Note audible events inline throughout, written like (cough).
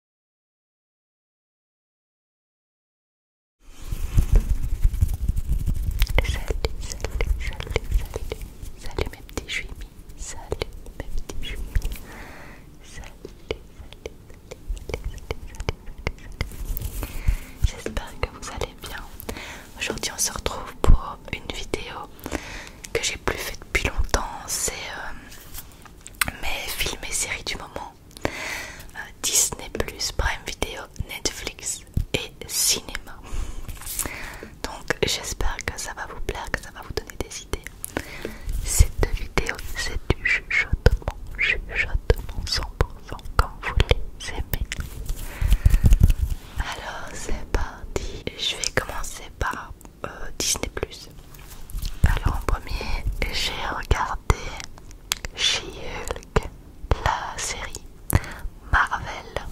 Salut, salut, salut, salut, salut mes petits choumis, salut mes petits choumis, salut, salut, salut, salut, salut, salut. J'espère que vous allez bien. Aujourd'hui, on se retrouve pour une vidéo que j'ai plus fait depuis longtemps. C'est mes films et séries du moment euh, Disney+, Prime Video, Netflix et cinéma donc j'espère que ça va vous plaire, que ça va vous donner des idées cette vidéo c'est du chuchotement, chuchotement 100% Quand vous les aimez alors c'est parti je vais commencer par euh, Disney Alors en premier, j'ai regardé She-Hulk, la série Marvel.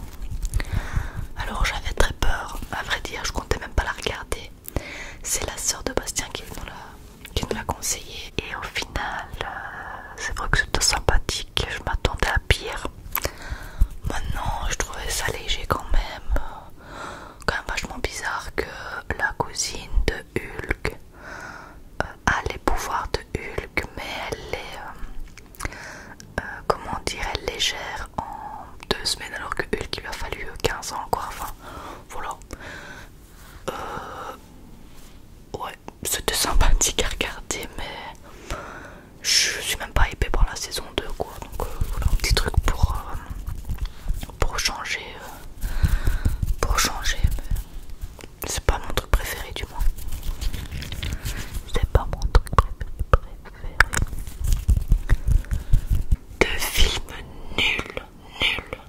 Alors j'avais très peur, à vrai dire, je comptais même pas la regarder. C'est la sœur de Bastien qui nous l'a conseillé. Et au final, euh, c'est vrai que c'était sympathique, je m'attendais à pire. Maintenant, je trouvais ça léger quand même quand même vachement bizarre que la cousine de Hulk euh, a les pouvoirs de Hulk, mais elle est, euh, euh, comment dire, elle les gère en deux semaines alors que Hulk lui a fallu 15 ans quoi, enfin voilà. ouais ouais, c'était sympathique à regarder, mais je suis même pas épée pour la saison 2 quoi, donc voilà un petit truc pour, pour changer pour changer, c'est pas mon truc préféré du moins. C'est pas mon truc préféré. De film nul, nul.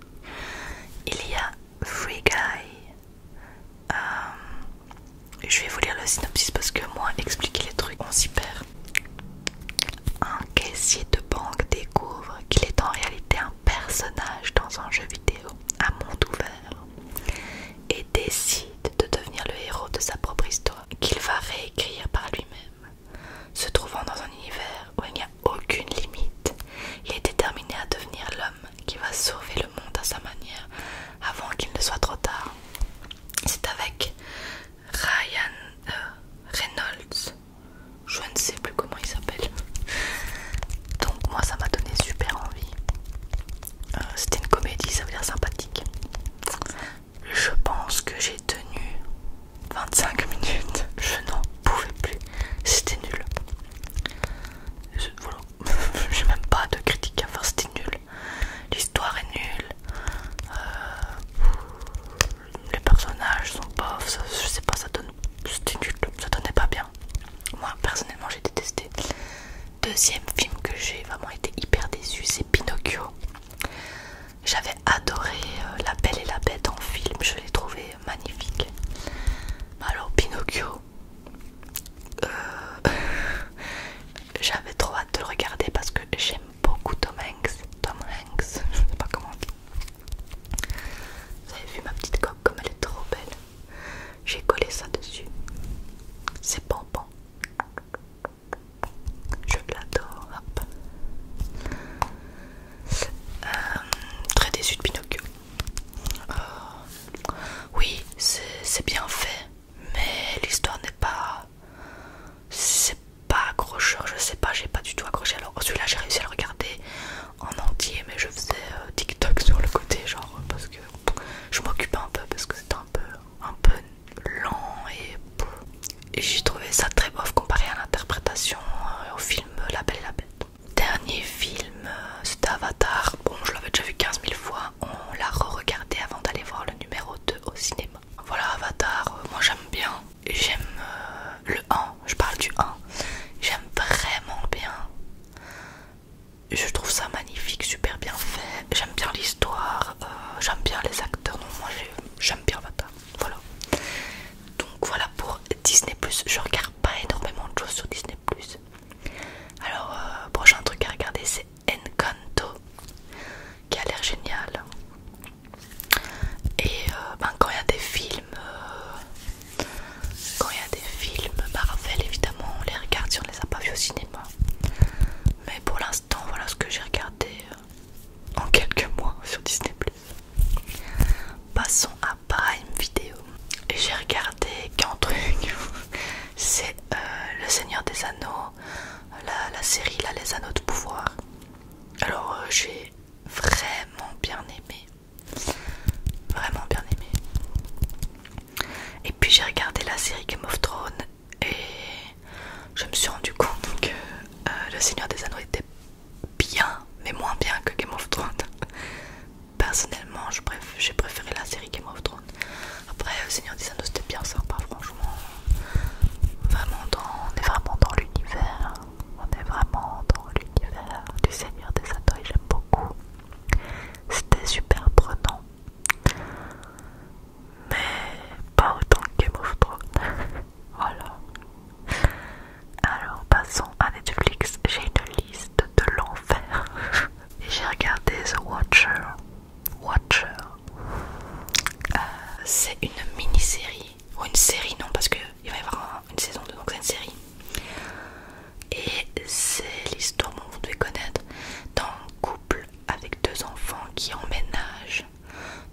Il y a Free Guy. Euh, je vais vous lire le synopsis parce que moi, expliquer les trucs, on s'y perd. Un caissier de banque découvre qu'il est en réalité un personnage dans un jeu vidéo à monde ouvert et décide de devenir le héros de sa propre histoire qu'il va réécrire par lui-même. Se trouvant dans un univers où il n'y a aucune limite, il est déterminé à devenir l'homme qui va sauver le monde à sa manière avant qu'il ne soit trop tard. C'est avec Ryan euh, Reynolds je ne sais plus comment il s'appelle. Donc moi ça m'a donné super envie. Euh, c'était une comédie, ça veut dire sympathique. Je pense que j'ai tenu 25 minutes. Je n'en pouvais plus. C'était nul. voilà. (laughs) j'ai même pas de critique à faire. C'était nul. L'histoire est nulle. Euh, les personnages sont pauvres, je sais pas, ça donne. C'était nul, ça donnait pas bien. Moi personnellement j'ai détesté. Deuxième film que j'ai vraiment été hyper déçue, c'est Pinocchio. J'avais adoré euh, La Belle et la Bête en film, je l'ai trouvé magnifique. Alors Pinocchio, euh, (laughs) j'avais trop hâte de le regarder parce que j'aime beaucoup Tom Hanks. Tom Hanks, (laughs) je sais pas comment vous avez vu ma petite coque comme elle est trop belle J'ai collé ça dessus. C'est bon bon. Je l'adore. Euh, très déçu de Pinocchio. Oh. oui, c'est bien fait, mais l'histoire n'est pas pas accrocheur, je sais pas, j'ai pas du tout accroché. Alors celui-là, j'ai réussi à le regarder en entier, mais je faisais euh, TikTok (laughs) sur le côté, genre parce que je m'occupais un peu parce que c'était un peu, un peu lent et, j'ai trouvé ça très bof comparé à l'interprétation euh, au film La Belle et la Bête. Dernier film, euh, c'était Avatar. Bon, je l'avais déjà vu 15 000 fois. On l'a re-regardé avant d'aller voir le numéro 2 au cinéma. Voilà Avatar, moi j'aime bien j'aime euh, le 1, je parle du 1, j'aime vraiment bien. Je trouve ça magnifique, super bien fait. J'aime bien l'histoire, euh, j'aime bien les acteurs. moi j'aime bien votre. Voilà. Donc voilà pour Disney. Je regarde pas énormément de choses sur Disney. Alors, euh, prochain truc à regarder c'est Encanto qui a l'air génial. Et euh, ben, quand il y a des films, euh, quand il y a des films Marvel, évidemment, on les regarde si on les a pas vus au cinéma. Mais pour l'instant, voilà ce que j'ai regardé euh, en quelques mois sur Disney+. Passons à Prime Video. Et j'ai regardé qu'un truc, (laughs) c'est Le Seigneur des Anneaux, la, série là, Les Anneaux de Pouvoir. Alors j'ai vraiment bien aimé. Vraiment bien aimé. Et puis j'ai regardé la série Game of Thrones et je me suis rendu compte que euh, Le Seigneur des Anneaux était bien, mais moins bien que Game of Thrones. (laughs) Personnellement, j'ai préféré la série Game of Thrones. Après, Le Seigneur des Anneaux c'était bien sympa, franchement. Vraiment, dans, on est vraiment dans l'univers on est vraiment dans l'univers du Seigneur des Anneaux j'aime beaucoup. C'était super prenant, mais pas autant que Game (laughs) voilà. Alors passons à Netflix. J'ai une liste de l'enfer. (laughs) J'ai regardé The Watcher. Watcher. Euh, c'est une mini-série ou une série, non, parce qu'il va y avoir une saison 2, donc c'est une série. Et c'est l'histoire, que vous devez connaître, d'un couple avec deux enfants qui emménagent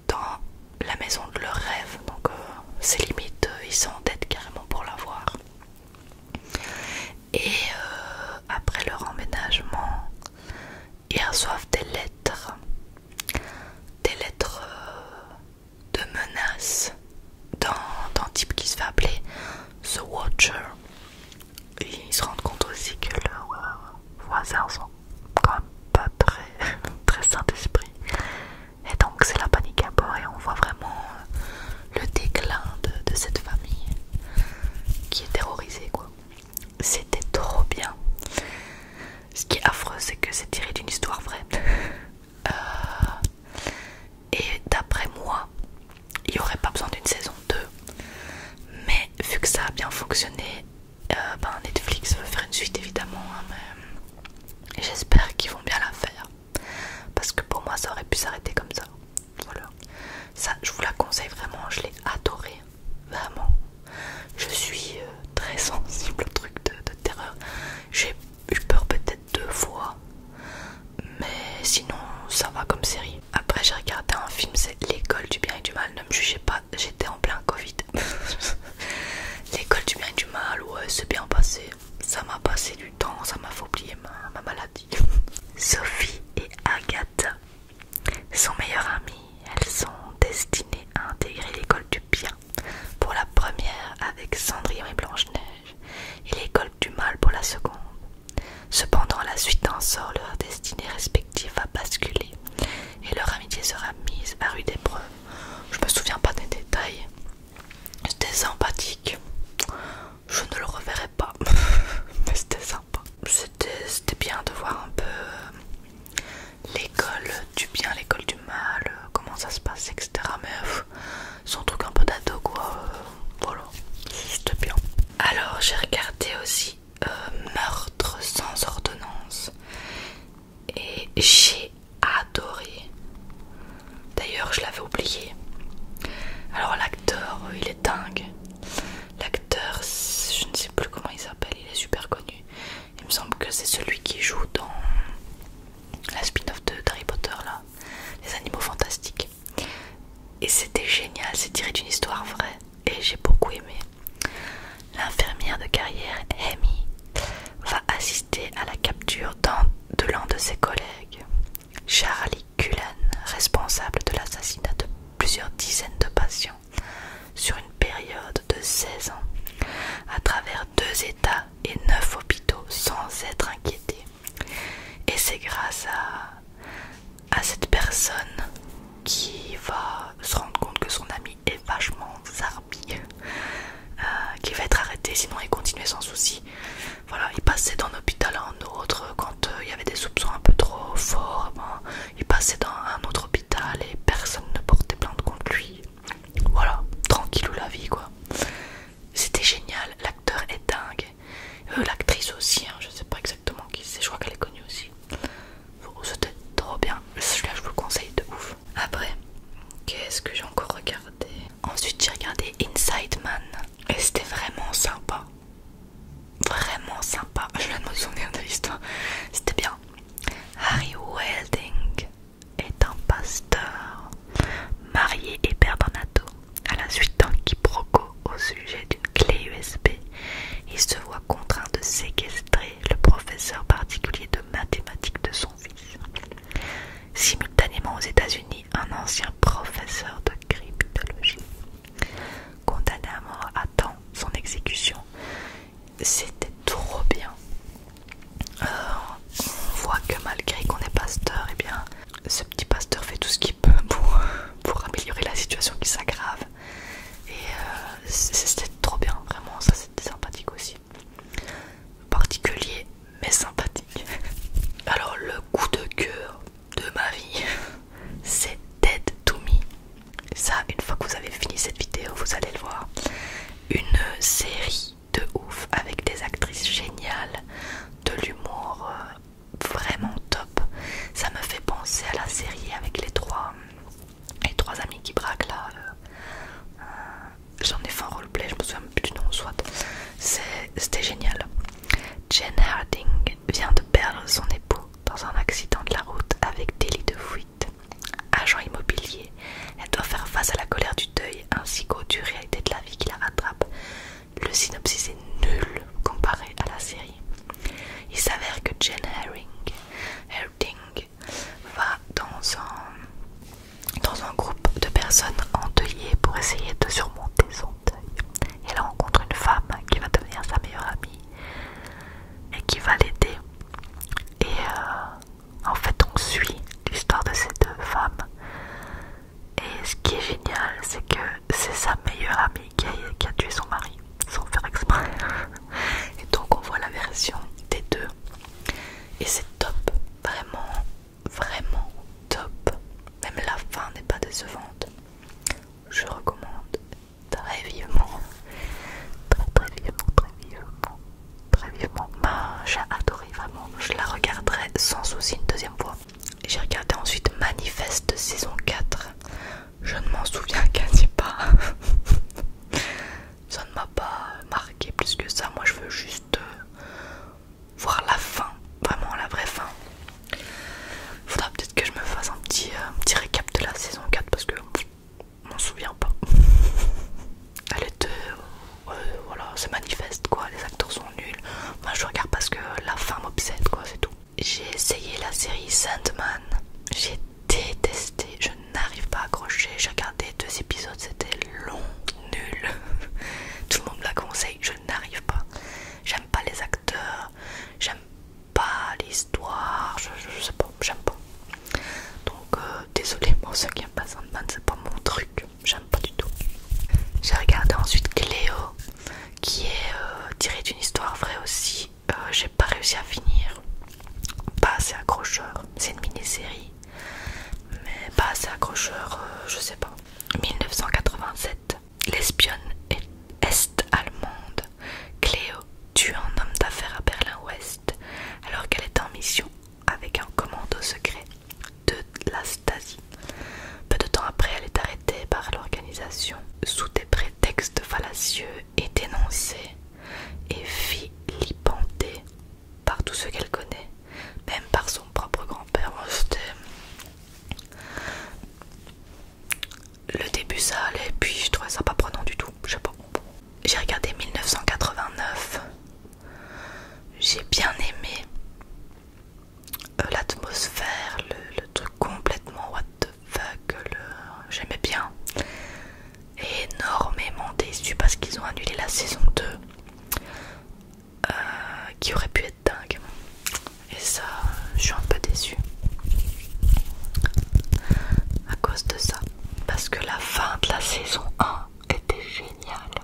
dans la maison de leur rêve, donc euh, c'est limite, sont euh, ils s'endettent carrément pour l'avoir. Et euh, après leur emménagement, ils reçoivent des lettres, des lettres de menaces dans un type qui se fait appeler The Watcher. Et ils se rendent compte aussi que leurs voisins sont quand même pas très, (laughs) très sains d'esprit. Et donc c'est la panique à bord et on voit vraiment euh, le déclin de, de cette famille qui est terrorisée quoi. C'était trop bien. Ce qui est affreux c'est que c'est tiré d'une histoire vraie. (laughs) Euh, et d'après moi, il n'y aurait pas besoin d'une saison 2. Mais vu que ça a bien fonctionné, euh, ben, Netflix veut faire une suite évidemment. Hein, j'espère qu'ils vont bien la faire. Parce que pour moi, ça aurait pu s'arrêter comme ça. Voilà. Ça, je vous la conseille vraiment. Je l'ai adoré, Vraiment. Je suis euh, très (laughs) sensible au truc de, terreur eu peur peut-être deux fois, mais sinon ça va comme série. Après j'ai regardé un film, c'est L'école du bien et du mal, ne me jugez pas, j'étais en plein Covid. (laughs) L'école du bien et du mal, ouais c'est bien passé, ça m'a passé du temps, ça m'a fait oublier ma, maladie. (laughs) Sophie et Agathe sont meilleures amies, elles sont destinées à intégrer l'école du bien pour la première avec Cendrillon et Blanche-Neige, et l'école du mal pour la seconde. Cependant, la suite en sort, leur destinée respective va basculer, et leur amitié sera mise à rude épreuve. Je me souviens pas des détails. C'était sympathique. Je ne le reverrai pas, (laughs) mais c'était sympa. C'était bien de voir un peu euh, l'école du bien, l'école mal, euh, comment ça se passe, etc. Mais euh, son truc un peu d'ado quoi, euh, voilà, bien. Alors j'ai regardé aussi Meurtre sans ordonnance et j'ai adoré. D'ailleurs je l'avais oublié. Alors l'acteur, il est dingue. L'acteur, je ne sais plus comment il s'appelle, il est super connu. Il me semble que c'est celui qui joue dans la spin-off de Harry Potter, là, Les Animaux Fantastiques. Et c'était génial, c'est tiré d'une histoire vraie et j'ai beaucoup aimé. L'infirmière de carrière, Amy, va assister à la capture de l'un de ses collègues, Charlie Cullen, responsable de l'assassinat de plusieurs dizaines de patients sur une période de 16 ans, à travers deux états et neuf hôpitaux sans être inquiété Et c'est grâce à, cette personne qui va se rendre compte que son ami est vachement zarbi, euh, qui va être arrêté, sinon il continuait sans souci. Voilà, il passait d'un hôpital à un autre, quand euh, il y avait des soupçons un peu trop forts, il passait dans un autre hôpital et personne ne portait plainte contre lui. Voilà, tranquille ou la vie quoi. C'était génial, l'acteur est dingue. Euh, l'actrice aussi, hein, je ne sais pas exactement qui c'est, je crois qu'elle est connue aussi. Oh, c'était trop bien, celui-là je vous le conseille de ouf. Après, qu'est-ce que j'ai encore regardé Ensuite j'ai regardé Inside Man et c'était vraiment sympa. Vraiment sympa, (laughs) je viens de me souvenir de l'histoire. C'était bien. Harry Welding, est un pasteur marié et père d'un ado. À la suite d'un quiproquo au sujet d'une clé USB, il se voit contraint de séquestrer le professeur particulier de mathématiques de son fils. Simultanément aux États-Unis, un ancien professeur de cryptologie, condamné à mort, attend son exécution. C'était trop bien. Euh, on voit que malgré qu'on est pasteur, et eh bien ce petit pasteur fait tout ce qu'il peut pour, améliorer la situation qui s'aggrave. Et euh, c'était trop bien, vraiment, ça c'était sympathique aussi. Particulier mais sympathique. Alors le coup de cœur de ma vie, (laughs) c'est Dead to Me. Ça, une fois que vous avez fini cette vidéo, vous allez le voir. Une série de ouf avec des actrices géniales, de l'humour euh, vraiment top. Ça me fait penser à la série avec les trois, trois amis qui braquent là. Euh, euh, j'en ai fait un roleplay, je me souviens plus du nom, soit. C'était génial. Jen Harding vient de perdre son époux dans un accident de la route avec délit de fuite. Agent immobilier, elle doit faire face à la colère du deuil ainsi qu'aux dur réalité de la vie qui la rattrape. Le synopsis est nul comparé à la série. Il s'avère que Jane Herring, va dans un, dans un groupe de personnes endeuillées pour essayer de surmonter son deuil. Elle rencontre une femme qui va devenir sa meilleure amie et qui va l'aider. Et euh, en fait, on suit l'histoire de ces deux femmes. Et ce qui est génial, c'est que c'est sa meilleure amie qui a, tué son mari, sans faire exprès. (laughs) Et donc, on voit la version des deux. Et c'est top, vraiment, vraiment top. Même la fin n'est pas décevante. Je recommande très vivement, très très vivement, très vivement très vivement. j'ai adoré vraiment, je la regarderai sans souci une deuxième fois. J'ai regardé ensuite Manifeste saison 4. Je ne m'en souviens quasi pas. (laughs) Ça ne m'a pas marqué plus que ça. Moi, je veux juste euh, voir la fin, vraiment la vraie fin. Faudra peut-être que je me fasse un petit, euh, petit récap de la saison 4 parce que je m'en souviens pas. (laughs) elle deux, euh, voilà, c'est manifeste quoi, les acteurs sont nuls. Moi je regarde parce que la femme m'obsède quoi, c'est tout. J'ai essayé la série Sandman, j'ai détesté, je n'arrive pas à accrocher. J'ai regardé deux épisodes, c'était long, nul. (laughs) tout le monde la conseille, je n'arrive pas. J'aime pas les acteurs, j'aime pas l'histoire, je, sais pas, j'aime pas. Donc euh, désolé pour ceux qui aiment pas Sandman, c'est pas mon truc j'aime pas du tout. J'ai regardé ensuite Cléo, qui est euh, tiré d'une histoire vraie aussi. Euh, j'ai pas réussi à finir, pas assez accrocheur. C'est une mini-série, mais pas assez accrocheur, euh, je sais pas. 1987, l'espionne est-allemande Cléo tue un homme d'affaires à Berlin-Ouest alors qu'elle est en mission avec un commando secret de la Stasi. Peu de temps après, elle est arrêtée par l'organisation sous des prétextes fallacieux et dénoncée et filipantée par tous ceux qu'elle connaît, même par son propre grand-père. Le début ça allait, puis je trouvais ça pas prenant du tout, J'ai regardé 1989, j'ai bien aimé euh, l'atmosphère, le, truc complètement what the fuck, j'aimais bien. Énormément déçu parce qu'ils ont annulé la saison 2 euh, qui aurait pu être dingue. Et ça, je suis un peu déçue à cause de ça. Parce que la fin de la saison 1 était géniale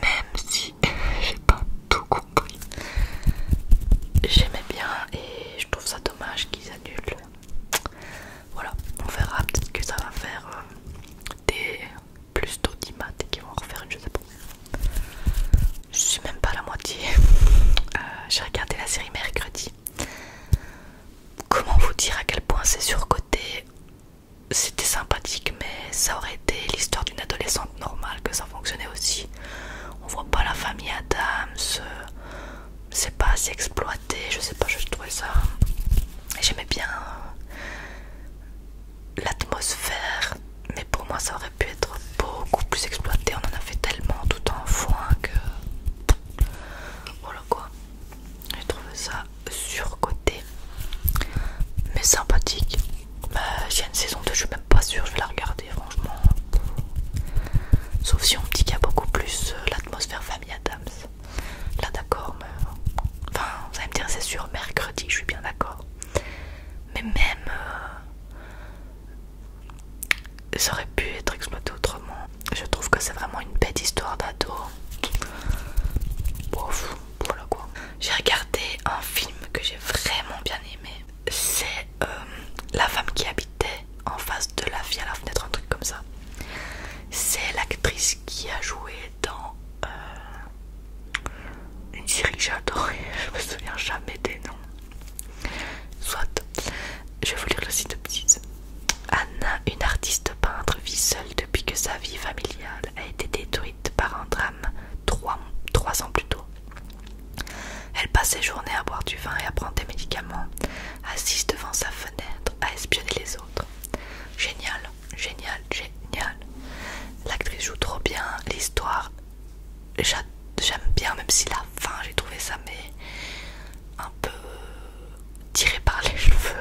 même si (laughs) j'ai pas tout compris. J'aimais bien et je trouve ça dommage qu'ils annulent. Voilà, on verra peut-être que ça va faire euh, des plus d'audimates et qu'ils vont refaire une, je sais pas. Je suis même pas la moitié. (laughs) Euh, j'ai regardé la série mercredi. Comment vous dire à quel point c'est surcoté c'était sympathique, mais ça aurait été l'histoire d'une adolescente normale que ça fonctionnait aussi. On voit pas la famille Adams, euh, c'est pas assez exploité, je sais pas, je trouvais ça. J'aimais bien l'atmosphère, mais pour moi ça aurait pu être beaucoup plus exploité. On en a fait tellement tout en foin que. Voilà quoi. J'ai trouvé ça sur surcoté mais sympathique. Bah, j'ai une saison 2, je suis même pas sûre, je vais la regarder franchement. Sauf si on me dit qu'il y a beaucoup plus euh, l'atmosphère famille Adams. Là d'accord, mais... Enfin, vous allez me dire c'est sur mercredi, je suis bien d'accord. Mais même... Euh, ça aurait pu être exploité autrement. Je trouve que c'est vraiment une bête histoire d'ado. Bof voilà quoi. J'ai regardé un film que j'ai vraiment bien aimé. C'est euh, la femme qui habitait en face de la vie à la fenêtre, un truc comme ça. C'est l'actrice qui a joué dans euh, une série que j'adore (laughs) je me souviens jamais des noms. Soit, je vais vous lire le site Anna, une artiste peintre, vit seule depuis que sa vie familiale détruite par un drame trois, trois ans plus tôt. Elle passe ses journées à boire du vin et à prendre des médicaments, assise devant sa fenêtre à espionner les autres. Génial, génial, génial. L'actrice joue trop bien, l'histoire j'aime bien, même si la fin j'ai trouvé ça mais un peu tiré par les cheveux,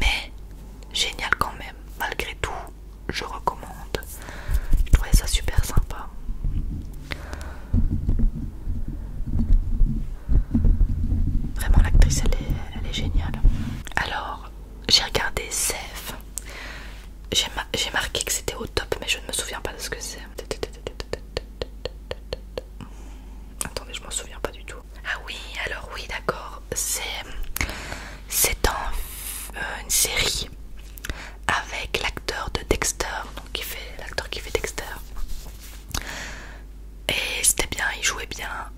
mais génial quand même. Malgré tout, je recommande. Je trouvais ça super sympa. Vraiment, l'actrice, elle est, géniale. Alors, j'ai regardé Ceph J'ai marqué que c'était au top, mais je ne me souviens pas de ce que c'est. Attendez, je m'en souviens pas du tout. Ah oui, alors oui, d'accord. C'est c'est euh, une série avec l'acteur de Dexter, donc qui fait l'acteur qui fait Dexter. Et c'était bien, il jouait bien,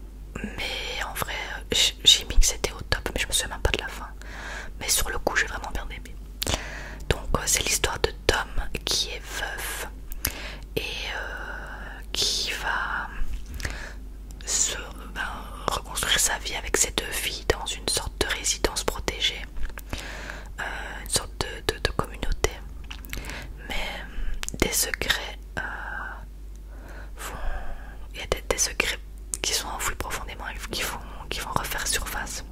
mais en vrai, j'ai mis que c'était au top, mais je me souviens pas de la fin. Mais sur le coup, j'ai vraiment bien aimé. Donc, euh, c'est l'histoire de Tom qui est veuf et euh, qui va se ben, reconstruire sa vie avec ses deux filles dans une sorte de résidence protégée, euh, une sorte de, communauté. Mais euh, des secrets euh, vont. Il y a des, secrets qui sont enfouis profondément et qui vont, refaire surface.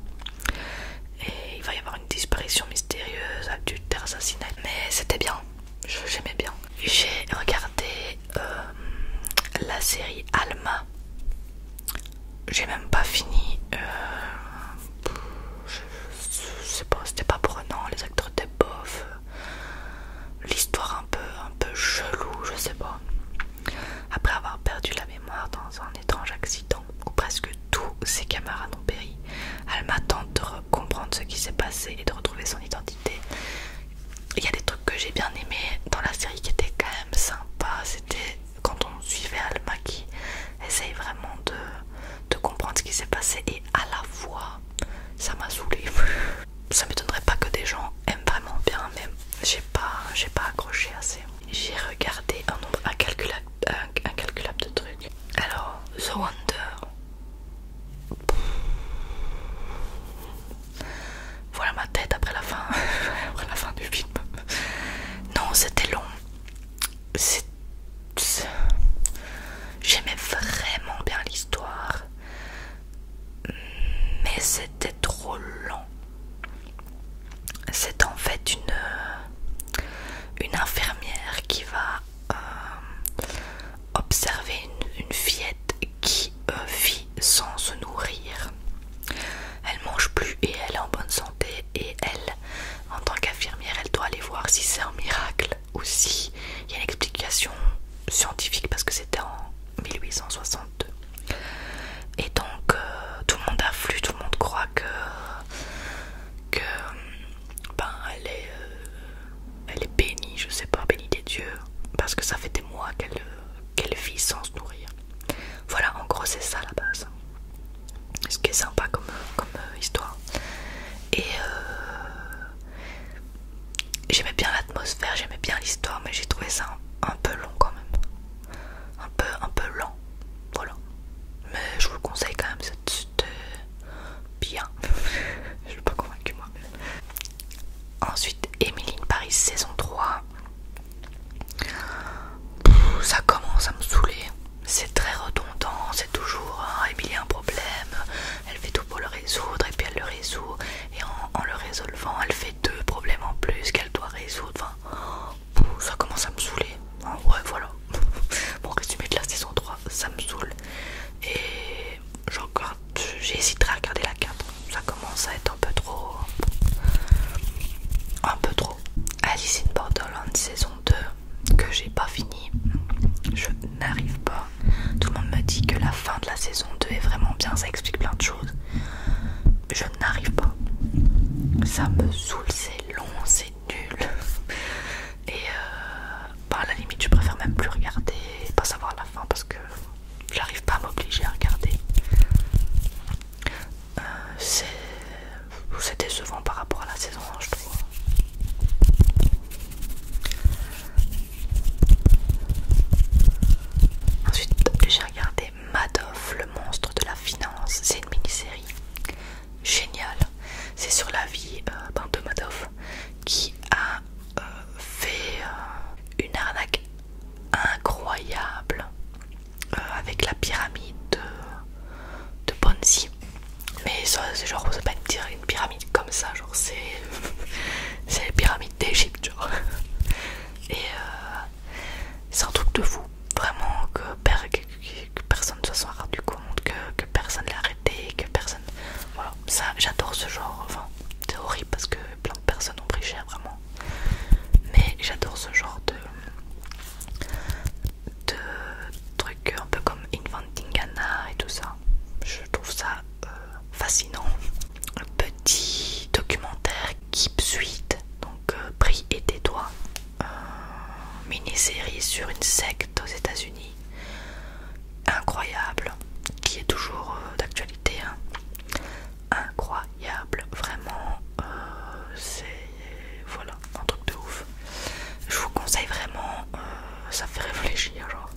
Et il va y avoir une disparition mystérieuse, terre assassinat. Mais c'était bien, j'aimais bien. J'ai regardé euh, la série Alma. J'ai même pas fini. Euh, je, sais pas, c'était pas prenant. Les acteurs étaient bofs, L'histoire un peu, un peu chelou, je sais pas. Après avoir perdu la mémoire dans un étrange accident où presque tous ses camarades ont péri, Alma tente de comprendre ce qui s'est passé et de retrouver son identité il y a des trucs que j'ai bien aimés dans la série qui était quand même sympa, C'était quand on suivait Alma qui essaye vraiment de, comprendre ce qui s'est passé et à la fois ça m'a saoulé. (laughs) ça m'étonnerait pas que des gens aiment vraiment bien, mais j'ai pas, j'ai pas accroché assez. J'ai regardé un nombre incalculable de trucs. Alors, The Wonder, voilà ma tête après la fin, (laughs) après la fin du film. Non, c'était long. J'aimais vraiment bien l'histoire, mais c'était trop long C'est en fait une, euh, une infirmière qui va euh, observer une, fillette qui euh, vit sans se nourrir. Elle mange plus et elle est en bonne santé et elle, en tant qu'infirmière, elle doit aller voir si c'est un miracle ou si il y a une explication scientifique parce que c'était en 1862. Et donc euh, tout le monde afflue, tout le monde croit que, que ben, elle est euh, elle est bénie, je sais pas, bénie des dieux, parce que ça fait des mois qu'elle vit sans se nourrir. Voilà, en gros, c'est ça la base. Ce qui est sympa comme, comme euh, histoire. Et euh, j'aimais bien l'atmosphère, j'aimais bien l'histoire, mais j'ai trouvé ça un, peu long quand même. Un peu, un peu lent. Voilà. Mais je vous le conseille quand même, c'était euh, bien. (laughs) je suis pas convaincu moi Ensuite, emilie Paris saison 3. ça commence à me saouler. C'est très redondant, c'est toujours hein, a un problème, elle fait tout pour le résoudre et puis elle le résout. Et en, le résolvant, elle fait deux problèmes en plus qu'elle doit résoudre. ça commence à me saouler. ouais, voilà. bon (laughs) résumé de la saison 3, ça me saoule. Et j'hésiterai à regarder la carte Ça commence à être un peu trop. Un peu trop. Alice in Borderland saison 2 que j'ai pas fini. Je n'arrive pas. Tout le monde me dit que la fin de la saison 2 est vraiment bien, ça explique plein de choses. Je n'arrive pas. Ça me saoule, c'est long, c'est nul. Et euh, bah, à la limite, je préfère même plus regarder pas savoir la fin parce que j'arrive pas à m'obliger à regarder. Euh, c'est décevant par rapport à la saison 1, hein, je trouve. Ensuite, j'ai regardé Madoff, le monstre de la finance. C'est une mini-série géniale. C'est sur la vie euh, ben, de Madoff qui a euh, fait euh, une arnaque incroyable euh, avec la pyramide de, de Ponzi. Mais c'est genre, c'est pas dire une pyramide comme ça, genre c'est (laughs) c'est la pyramide d'Égypte, genre. (laughs) Et c'est un truc de fou, vraiment que, personne ne se soit rendu compte, que, que personne l'a arrêté, que personne. Voilà, ça j'adore ce genre, enfin c'est horrible parce que plein de personnes ont pris cher vraiment. Mais j'adore ce genre de, trucs un peu comme Inventing Anna et tout ça. Je trouve ça euh, fascinant. Un petit documentaire qui Suite, donc euh, Prix et des doigts. Euh, mini-série sur une secte aux États-Unis incroyable qui est toujours euh, d'actualité hein. incroyable vraiment euh, c'est voilà un truc de ouf je vous conseille vraiment euh, ça fait réfléchir genre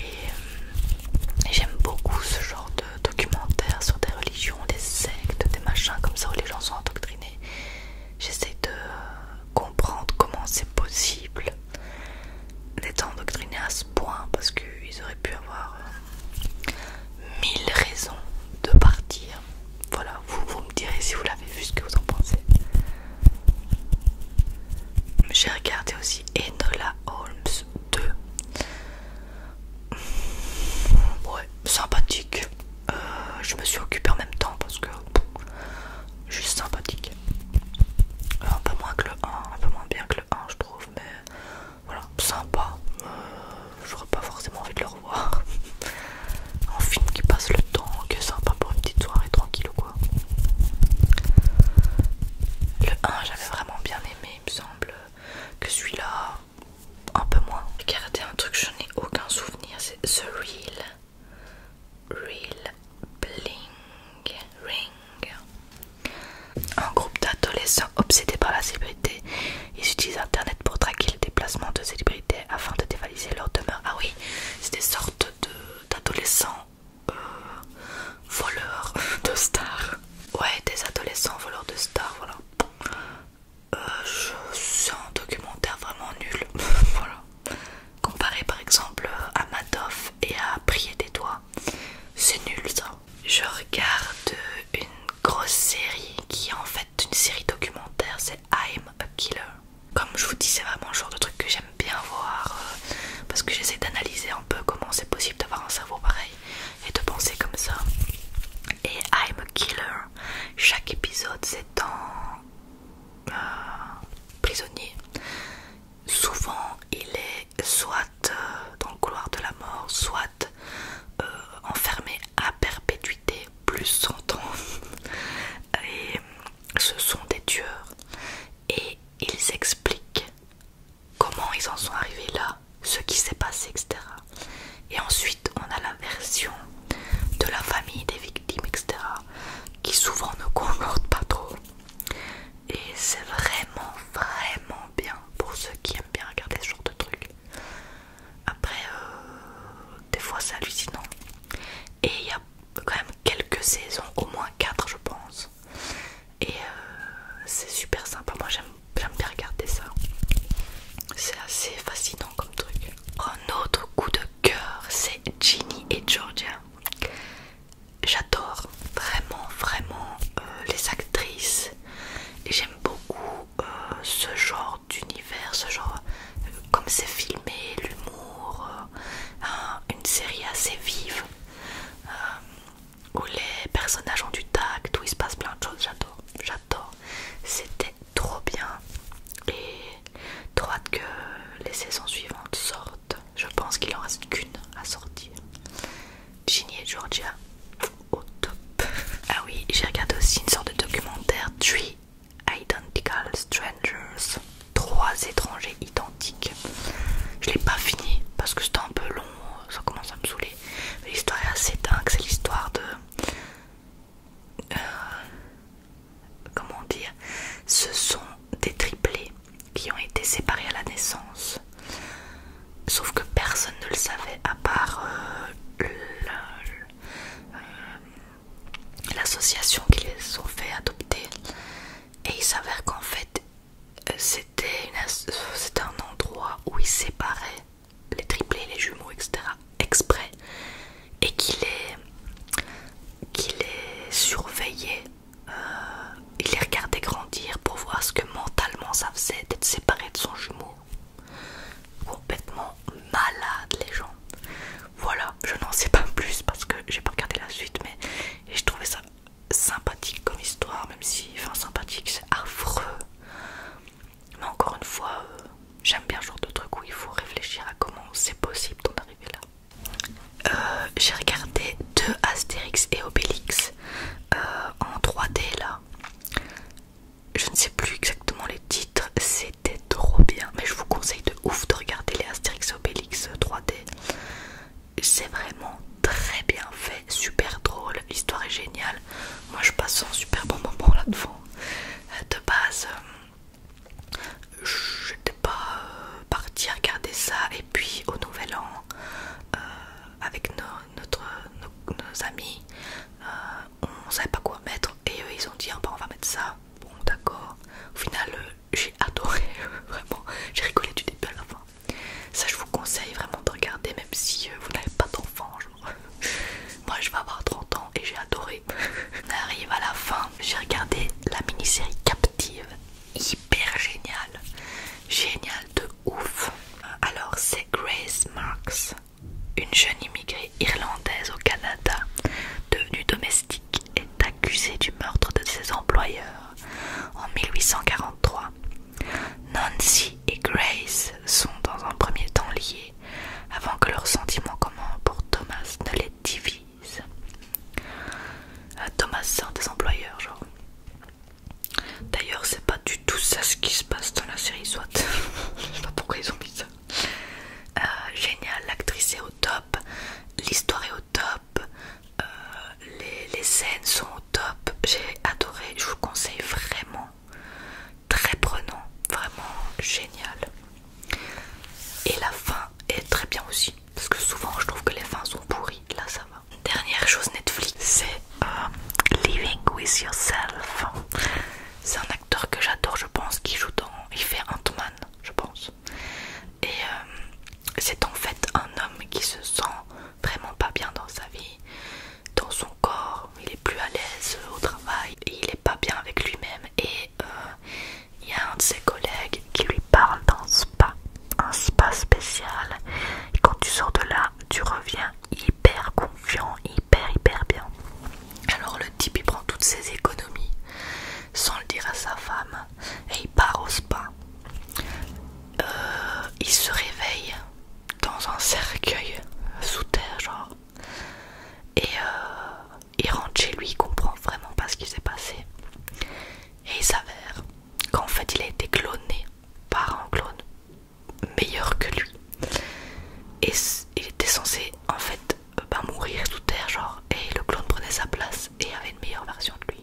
et, j'aime beaucoup ce genre de documentaire sur des religions des sectes des machins comme ça où les gens sont endoctrinés j'essaie de comprendre comment c'est possible d'être endoctrinés à ce point parce qu'ils auraient pu avoir euh, mille raisons de partir. Voilà, vous, vous me direz si vous l'avez vu ce que vous en pensez. J'ai regardé aussi Enola Holmes 2. Ouais, sympathique. Euh, je me suis occupée en même temps parce que juste sympathique. Euh, un peu moins que le 1, un peu moins bien que le Hein, je trouve mais voilà sympa euh, j'aurais pas forcément envie de le revoir (laughs) un film qui passe le temps que est sympa pour une petite soirée tranquille ou quoi le 1 j'avais vraiment bien aimé il me semble que celui-là un peu moins regardez un truc je n'ai aucun souvenir c'est The Real Real Bling un groupe d'adolescents obsédés par la célébrité. Ils utilisent Internet pour traquer les déplacements de célébrités afin de dévaliser leur demeure. Ah oui, c'est des sortes d'adolescents euh, voleurs de stars. Ouais, des adolescents voleurs de stars, voilà. Euh, je c'est un documentaire vraiment nul. (laughs) voilà. Comparé par exemple à Madoff et à Prier des Doigts, c'est nul ça. Je regarde une grosse série qui est en fait une série documentaire, c'est I'm a Killer. Comme je vous dis, c'est vraiment le genre de truc que j'aime bien voir euh, parce que j'essaie d'analyser un peu comment c'est possible d'avoir un cerveau pareil et de penser comme ça. Et I'm a Killer, chaque épisode c'est un euh, prisonnier. Souvent il est soit euh, dans le couloir de la mort, soit euh, enfermés à perpétuité plus 100 ans. (laughs) et euh, ce sont des tueurs. Et ils expliquent comment ils en sont arrivés là, ce qui s'est passé, etc. Et ensuite, on a la version de la famille des victimes, etc., qui souvent ne (laughs) concorde pas trop. Et c'est vraiment, vraiment bien pour ceux qui aiment bien regarder ce genre de trucs. Après, euh, des fois c'est hallucinant. Et il y a quand même quelques saisons, au moins 4 je pense. Et euh, c'est super sympa, moi j'aime bien regarder ça. C'est assez fascinant comme truc. Un autre coup de cœur, c'est Ginny et Georgia j'adore vraiment vraiment euh, les actrices et j'aime beaucoup euh, ce genre d'univers, ce genre euh, comme c'est filmé, l'humour, une série assez vive où les personnages ont du tact, où il se passe plein de choses, j'adore, j'adore, c'était trop bien et trop hâte que les saisons suivantes sortent. Je pense qu'il en reste qu'une à sortir. Ginny et Georgia au top. Ah oui, j'ai regardé aussi une sorte de documentaire Three Identical Strangers. Trois étrangers identiques. Je l'ai pas fini parce que c'était un peu long, ça commence à me saouler. L'histoire est assez dingue, c'est l'histoire de... Euh, comment dire Ce sont des triplés qui ont été séparés à la naissance. Sauf que personne ne le savait à part euh, euh, l'association qui les ont fait adopter. Et il s'avère qu'en fait, euh, c'était un endroit où ils séparaient les triplés, les jumeaux, etc. exprès et qu'il les, qu'il les surveillait euh, il les regardait grandir pour voir ce que mentalement ça faisait d'être séparé de son jumeau. Complètement malade les gens. Voilà, je n'en sais pas plus parce que j'ai pas regardé la suite, mais je trouvais ça sympathique comme histoire, même si, enfin sympathique, c'est affreux. Mais encore une fois, euh, j'aime bien ce genre de truc où il faut réfléchir à comment c'est possible d'en arriver là. Euh, j'ai regardé deux Astérix et Obélix. Euh, en 3D là. Je ne sais plus exactement les titres, c'était trop bien. Mais je vous conseille de ouf de regarder les et Obélix 3D. Euh, C'est vraiment très bien fait, super drôle, l'histoire est géniale. Moi je passe un super bon moment là devant. Euh, de base, je n'étais pas parti regarder ça. Et puis au Nouvel An, euh, avec nos, nos, amis, euh, on savait pas quoi mettre et eux ils ont dit ah, bah, on va mettre ça. Bon d'accord. Au final euh, j'ai (laughs) adoré vraiment. J'ai rigolé du début à la fin. Ça je vous conseille vraiment de regarder même si vous n'avez pas d'enfant. (laughs) Moi je vais avoir 30 ans et j'ai adoré. (laughs) on arrive à la fin. J'ai regardé la mini-série Captive. Super génial, génial de ouf. Alors c'est Grace Marks, une jeune immigrée irlandaise au Canada, devenue domestique, est accusée du meurtre de ses employeurs en 1843. Nancy et Grace sont dans un premier temps liées, avant que leurs sentiments communs pour Thomas ne les divise. Euh, Thomas, sort des employeurs, genre. D'ailleurs, c'est pas du tout ça ce qui se passe dans la série SWAT. (laughs) Je sais pas pourquoi ils ont mis ça. Euh, génial, l'actrice est au top, l'histoire est au top, euh, les, scènes sont au top. J'ai adoré, je vous conseille vraiment. Très prenant, vraiment génial. Et la fin est très bien aussi. Parce que souvent, je trouve que les fins sont pourries. Là, ça va. Dernière chose Netflix, c'est euh, Living with Yourself. C'est un acteur que j'adore, je pense, qui joue dans. Il fait Ant-Man, je pense. Et euh, c'est en fait un homme qui se sent vraiment pas bien dans sa vie, dans son corps. Il est plus à l'aise au travail, il est pas bien avec lui-même. Et euh, il y a un de ses collègues qui lui parle dans pas un spa spécial et quand tu sors de là tu reviens hyper confiant hyper hyper bien alors le type il prend toutes ses économies sans le dire à sa femme et il part au spa euh, il se réveille dans un cercueil sous terre genre et euh, il rentre chez lui il comprend vraiment pas ce qui s'est passé et il s'avère qu'en fait il a été cloné par un clone meilleur que lui et il était censé en fait ben, mourir sous terre genre et le clone prenait sa place et avait une meilleure version de lui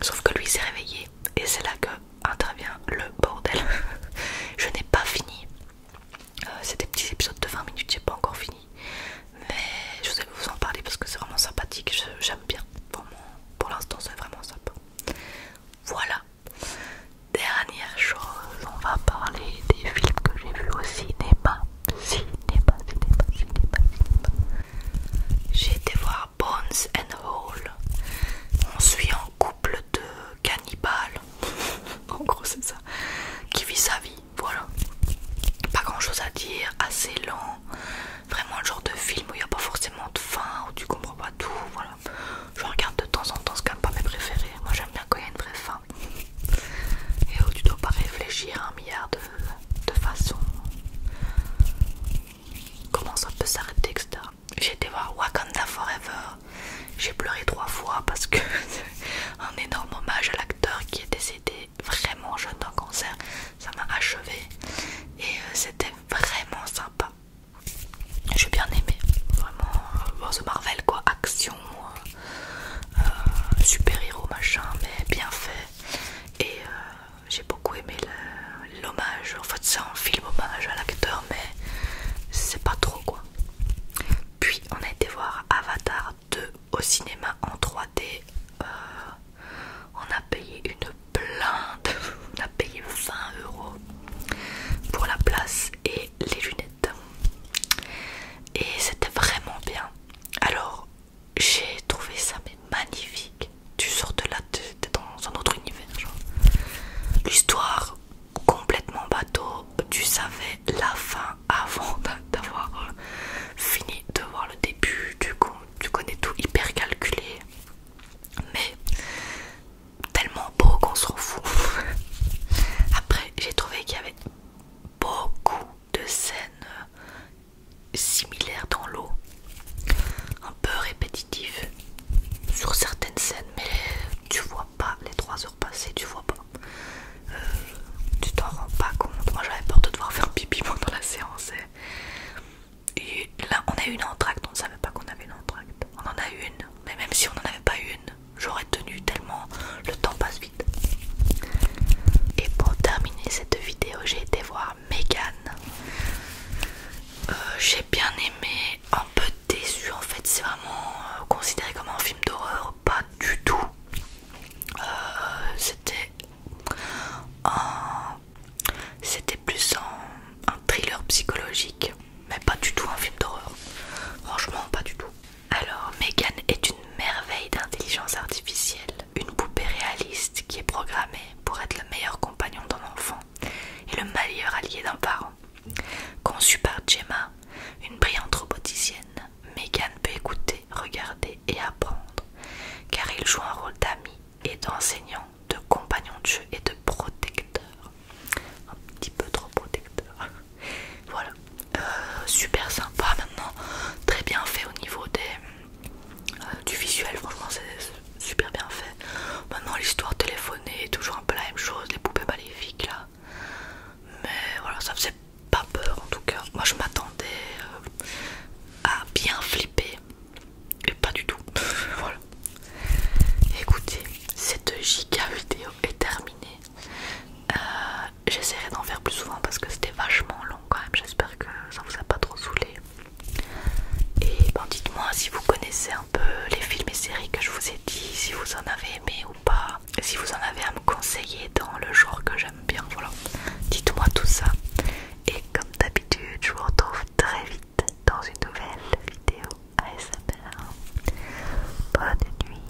sauf que lui s'est réveillé et c'est là que intervient le bordel (laughs) je n'ai pas fini C'était euh, c'est des petits épisodes de 20 minutes j'ai pas encore fini mais je vais vous en parler parce que c'est vraiment sympathique j'aime bien pour pour l'instant c'est vraiment sympa. Voilà. Dernière chose, on va parler des films que j'ai vus au cinéma. Cinéma, cinéma, cinéma, cinéma. J'ai été voir Bones and Hall. On suit un couple de cannibales. (laughs) en gros c'est ça. Qui vit sa vie, voilà. Pas grand chose à dire, assez lent vraiment le genre de film où il n'y a pas forcément de fin, où tu comprends pas tout, voilà. Je regarde de temps en temps, ce quand pas mes préférés. Moi j'aime bien quand il y a une vraie fin. Et où tu dois pas réfléchir un milliard de, de façons. Comment ça peut s'arrêter, etc. J'ai été voir Wakanda Forever. J'ai pleuré trois fois parce que (laughs) un énorme hommage à l'acteur qui est décédé vraiment jeune d'un cancer. Ça m'a achevé. Et euh, c'était vraiment sympa. J'ai bien aimé, vraiment, euh, The Marvel quoi, action, euh, euh, super-héros machin, mais bien fait. Et j'ai beaucoup aimé l'hommage, en fait c'est un film hommage à l'acteur, mais c'est pas trop quoi. Puis on a été voir Avatar 2 au cinéma en 3D on a payé une blinde, on a payé 20 euros pour la place et les lunettes. Et c'était vraiment bien. Alors j'ai trouvé ça magnifique. Tu sors de là, es dans un autre univers. L'histoire complètement bateau. Tu savais la fin avant d'avoir euh, fini de voir le début. Du coup, tu connais tout hyper calculé mais tellement beau qu'on se fout. (laughs) Après, j'ai trouvé qu'il y avait beaucoup de scènes euh, similaires dans l'eau, un peu répétitives sur certaines scènes, mais tu vois pas les 3 heures passées, tu vois pas. Euh, tu t'en rends pas compte. Moi j'avais peur de devoir faire pipi (laughs) pendant la séance là, on a eu une entracte, on ne savait pas qu'on avait une entracte. On en a une, mais même si on n'en avait pas une, j'aurais tenu tellement le temps passe vite. Et pour terminer cette vidéo, j'ai été voir Megan. Euh, j'ai bien aimé, un peu déçu en fait, c'est vraiment euh, considéré comme un film d'horreur, pas du tout. Euh, c'était un c'était plus un, thriller psychologique, mais pas du tout un film d'horreur. Franchement, pas du tout. Alors, Megan est une merveille d'intelligence artificielle, une poupée réaliste qui est programmée pour être le meilleur compagnon d'un enfant et le meilleur allié d'un parent. Conçue par Gemma, une brillante roboticienne, Megan peut écouter, regarder et apprendre, car il joue un rôle d'ami et d'enseignant, de compagnon de jeu et de protecteur. Un petit peu trop protecteur. (laughs) voilà. Euh, super sympa maintenant. Très bien fait au niveau des, euh, du visuel. Franchement, c'est super bien fait. Maintenant, l'histoire téléphonée est toujours un peu la même chose. Les poupées maléfiques là. Mais voilà, ça faisait pas peur en tout cas. Moi, je m'attendais euh, à bien flipper et pas du tout. (laughs) voilà. Écoutez, cette giga vidéo est terminée. Euh, j'essaierai d'en faire plus souvent parce que c'était vachement long quand même. J'espère que ça vous a pas trop saoulé. Et ben dites-moi si vous connaissez un peu les films et séries que je vous ai dit, si vous en avez aimé ou pas, si vous en avez à me conseiller dans le genre que j'aime bien. Voilà, dites-moi tout ça. Et comme d'habitude, je vous retrouve très vite dans une nouvelle vidéo ASMR. Bonne nuit.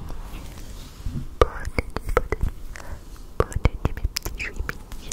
Bonne nuit, bonne nuit. Bonne nuit mes petits